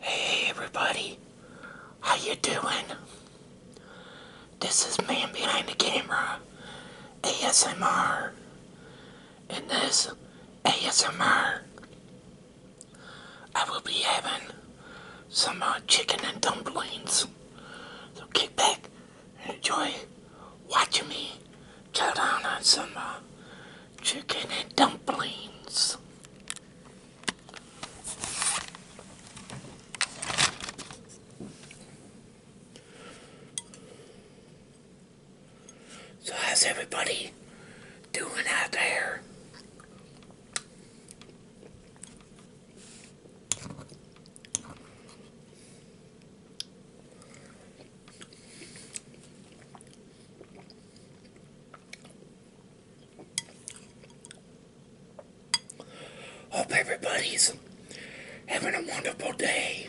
Hey everybody, how you doing? This is Man Behind the Camera ASMR, and this ASMR I will be having some uh, chicken and dumplings. So kick back and enjoy watching me chow some uh, chicken and dumplings. So how's everybody doing out there? Hope everybody's having a wonderful day.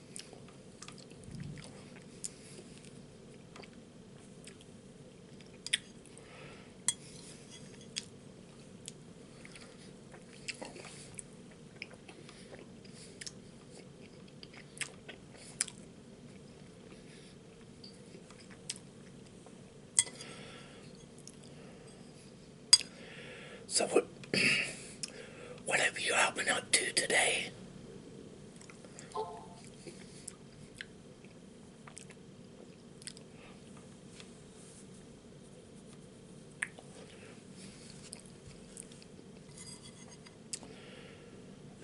So what, what have you all been up to today?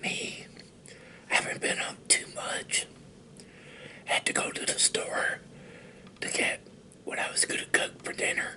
Me, I haven't been up too much. Had to go to the store to get what I was going to cook for dinner.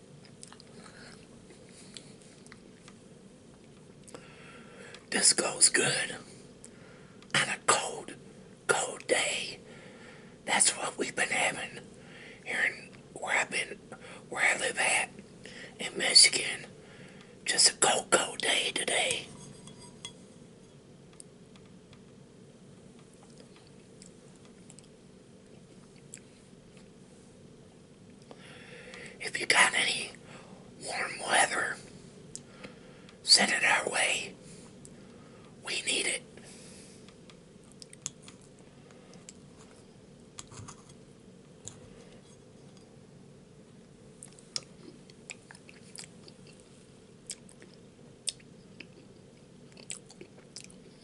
This goes good on a cold, cold day. That's what we've been having here in where I've been, where I live at in Michigan. Just a cold, cold day today. If you got any warm weather, send it our way. We need it.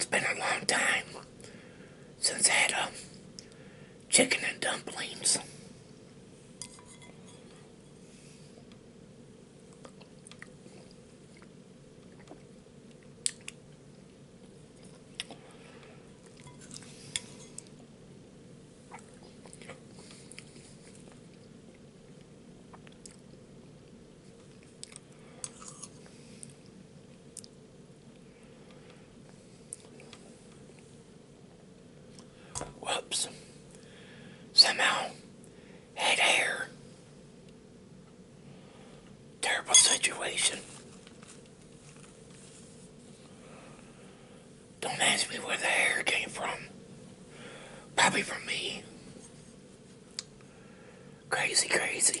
It's been a long time since I had a chicken and dumplings. Whoops. Somehow had hair. Terrible situation. Don't ask me where the hair came from. Probably from me. Crazy, crazy.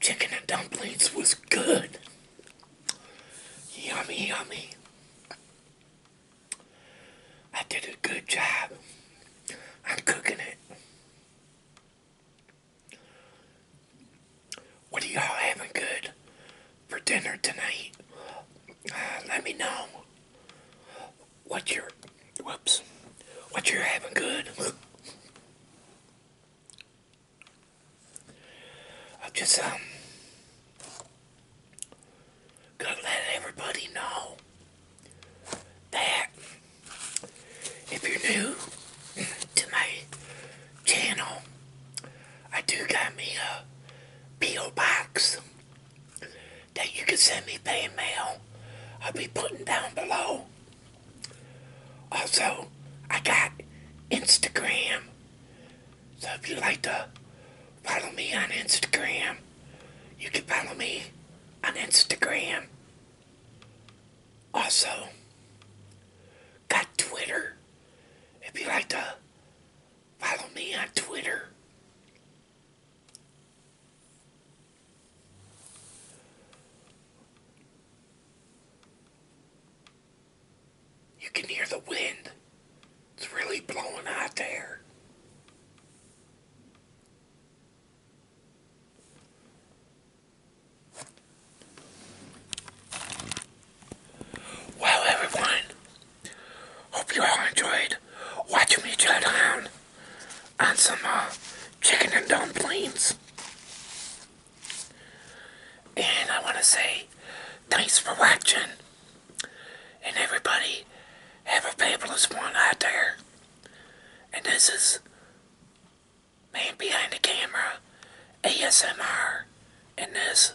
Chicken and dumplings was good. Yummy, yummy. I did a good job. I'm cooking it. What are y'all having good for dinner tonight? Uh, let me know what you're whoops what you're having good I've just um gotta let everybody know that if you're new to my channel I do got me a P.O. box that you can send me fan mail. I'll be putting down below also, I got Instagram. So if you like to follow me on Instagram, you can follow me on Instagram. Also, got Twitter. If you like to follow me on Twitter, you can hear the wind. It's really blowing out there. Well, everyone, hope you all enjoyed watching me tear down on some uh, chicken and dumplings. And I want to say thanks for watching. And everybody have a fabulous one out there. And this is Man Behind the Camera ASMR. And this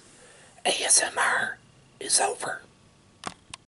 ASMR is over.